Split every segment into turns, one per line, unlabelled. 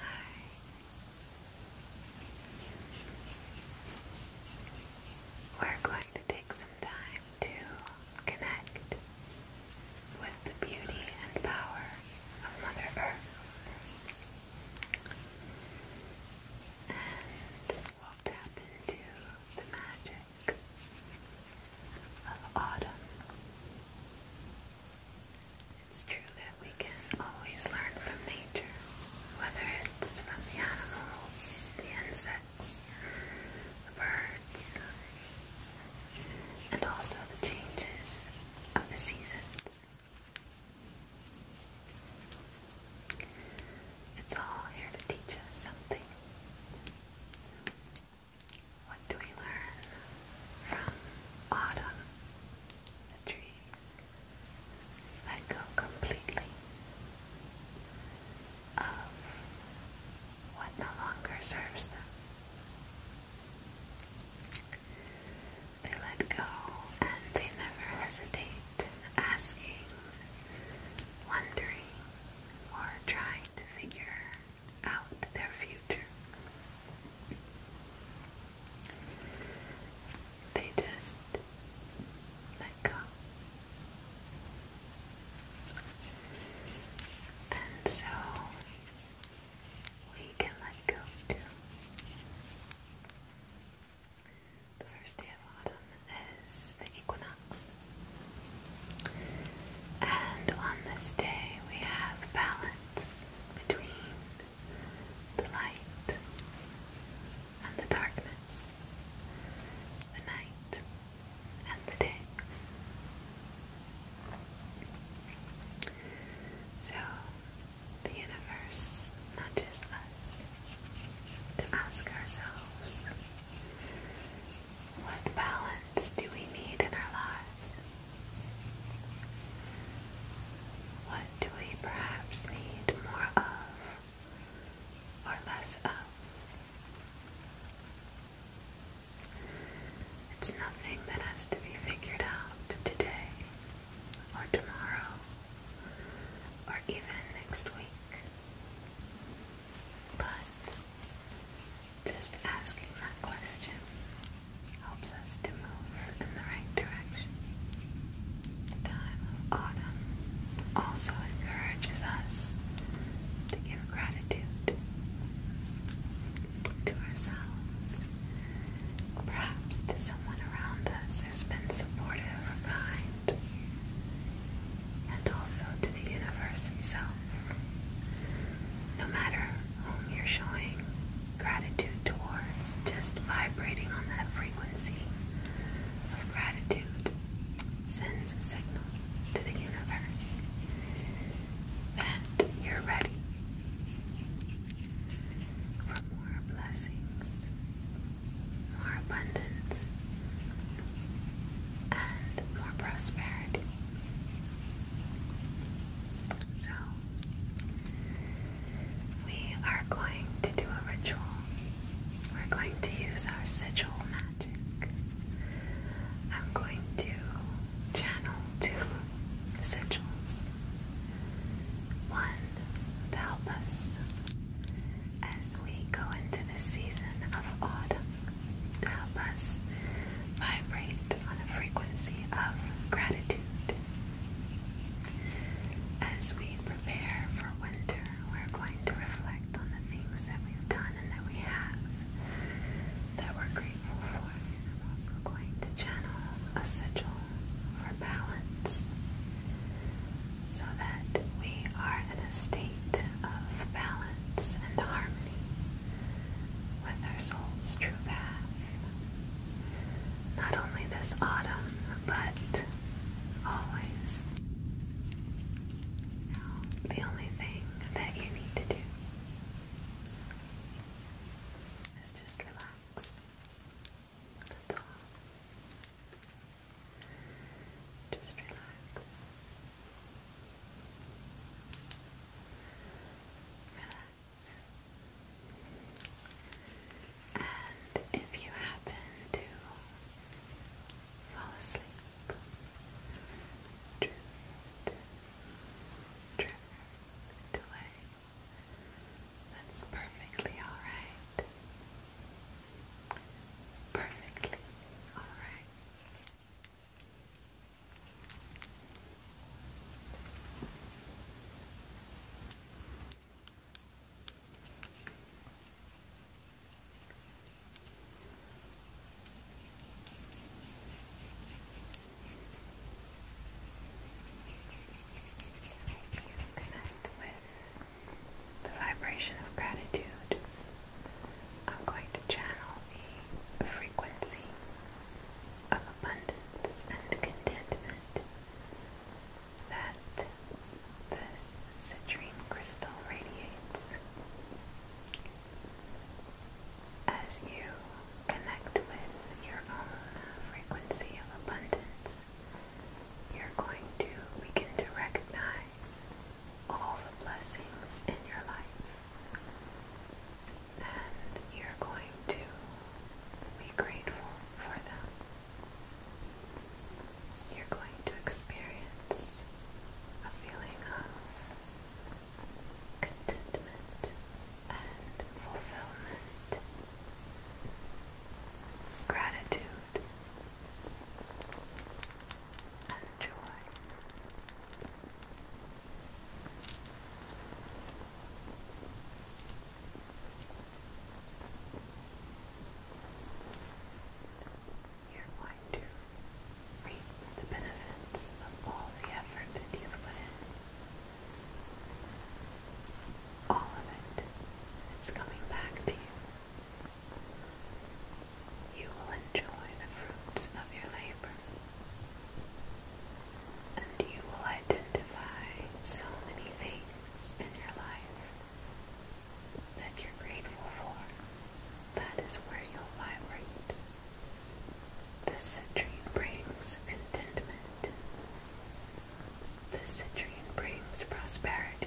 Hi. We're going to take some time to connect with the beauty and power of Mother Earth. And will tap into the magic of autumn. It's true that we can always learn from nature, whether it's from the animals, the insects, birds, and also the changes of the seasons. It's all here to teach us something. what do we learn from autumn? The trees let go completely of what no longer serves them. They let go and they never hesitate asking, wondering, are trying to figure out their future. They just let go. And so we can let go too. The first day of autumn is the equinox. And on this day we have balance between the light and the darkness, the night and the day. So the universe not just us to ask ourselves what balance do we need in our lives? What do we perhaps need more of or less of? It's nothing that has to be figured out today or tomorrow or even next week. But just asking that question helps us to move in the right direction. The time of autumn also encourages us to give gratitude to ourselves, perhaps to someone around us who's been supportive or kind and also to the universe itself. No matter whom you're showing gratitude towards, just vibrating on that frequency of gratitude sends a signal to the universe that you're ready for more blessings more abundance, and more prosperity. So, we are going to do a ritual. We're going to use our sigil magic. I'm going to channel two sigils. One to help us as we go into the season of autumn help us vibrate on a frequency of gratitude. As we prepare for winter, we're going to reflect on the things that we've done and that we have that we're grateful for. I'm also going to channel a for balance so that we are in a state of balance and harmony with our soul's true path. Not only this autumn, but always. the only thing that you need to do is just relax. That's all. Just relax. Relax. And if you happen to fall asleep, drift, drift away. That's perfectly alright. Perfectly. All right. Connect with the vibration of gratitude, I'm going to channel the frequency of abundance and contentment that this citrine crystal radiates. As you connect with your own frequency of abundance, you're going to begin to recognize all the blessings in your life. And you're going to be grateful for them. You're going to experience a feeling of contentment and fulfillment, gratitude and You're going to reap the benefits of all the effort that you've put in. All of it. It's coming back to you. You will enjoy the fruits of your labor, and you will identify so many things in your life that you're grateful for. That is where you'll vibrate. This citrine brings contentment. This citrine brings prosperity.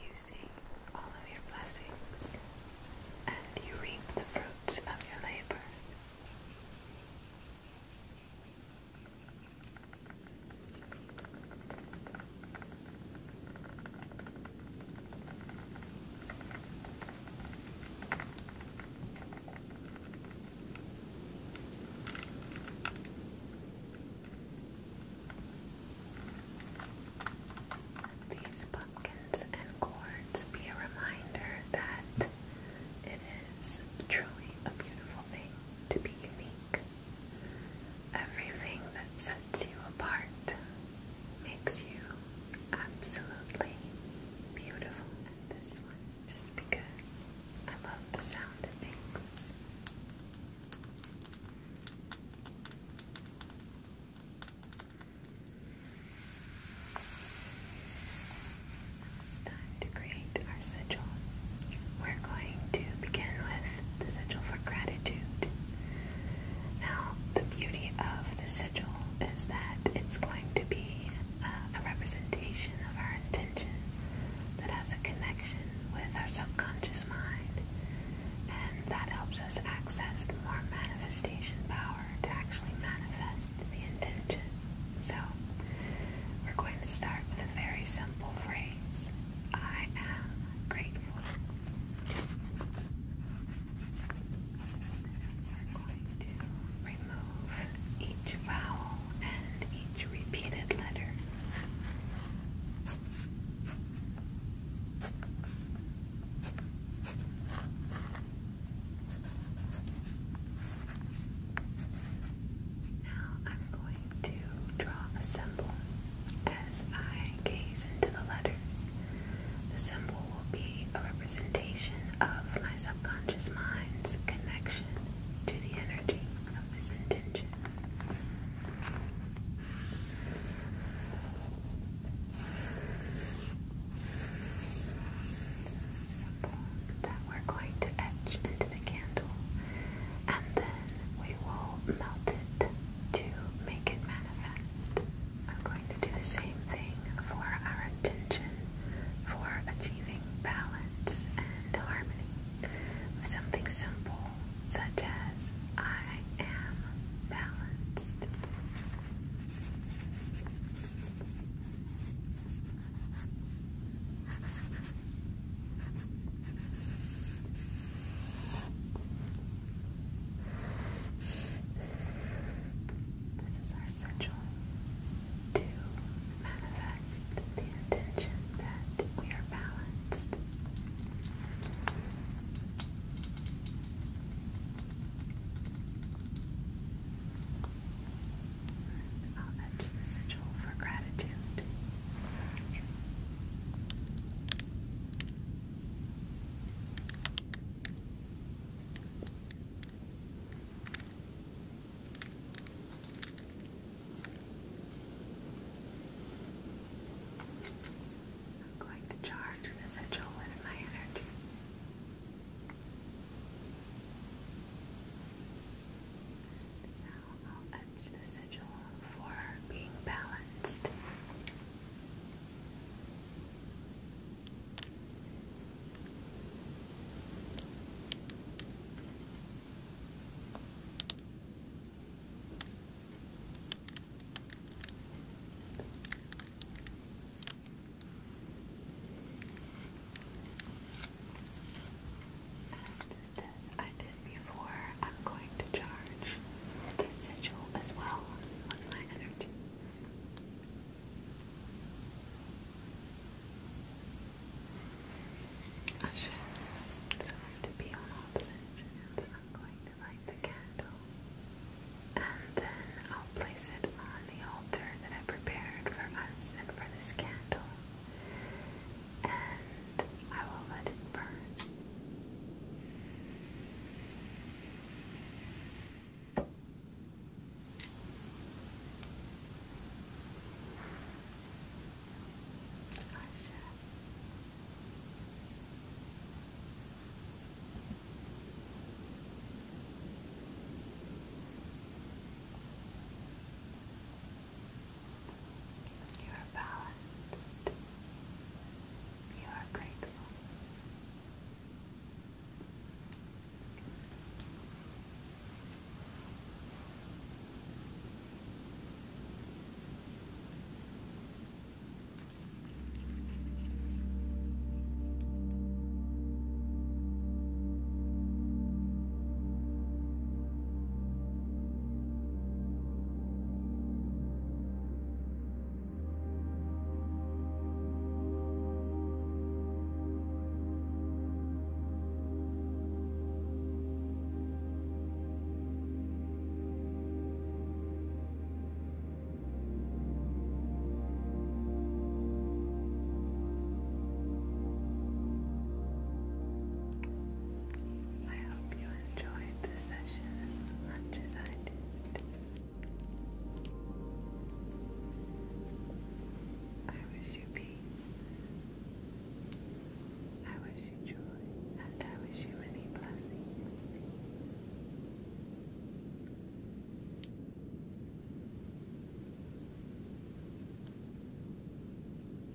Using all of your blessings, and you reap the fruits of your labor. These pumpkins and gourds be a reminder that it is truly a beautiful thing to be unique. Everything that sets you apart, makes you absolutely beautiful. And this one, just because I love the sound of things. it's time to create our sigil. We're going to begin with the sigil for gratitude. Now, the beauty of the sigil is that it's going to be uh, a representation of our intention that has a connection with our subconscious mind, and that helps us access more manifestation power to actually manifest the intention. So, we're going to start with a very simple phrase I am grateful. We're going to remove each vowel and each repeated letter. Now I'm going to draw a symbol as I gaze into the letters, the symbol will be a representation of my subconscious mind's connection to the energy of this intention. This is the symbol that we're going to etch into the candle and then we will melt it to make it manifest. I'm going to do the same thing for our intention for achieving balance and harmony with something simple such as I am balanced. This is our essential to manifest the intention that we are balanced. First, I'll etch for gratitude. I'm going to charge residual with my energy. I'll etch the sigil for being balanced as I did before, I'm going to charge this sigil as well with my energy. I should, so as to be on all dimensions, I'm going to light the candle and then I'll place it on the altar that I prepared for us and for this candle and I will let it burn. You are balanced. You are grateful.
I hope you enjoy I I wish you peace. I wish you joy, and I wish you many blessings.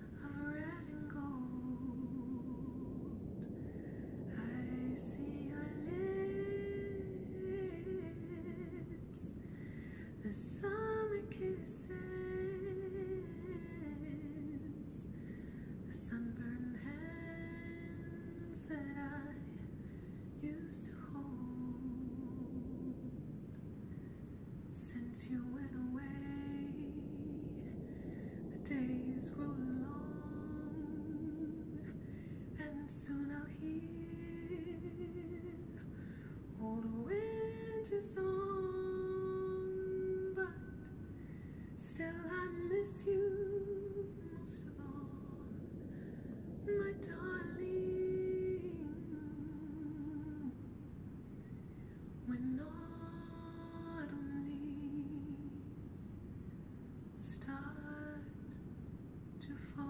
of red and gold. I see your lips, the summer kisses, the sunburned hands that I used to hold. Since you went away, the days roll along, and soon I'll hear old winter song. But still, I miss you most of all, my darling when autumn leaves start to fall.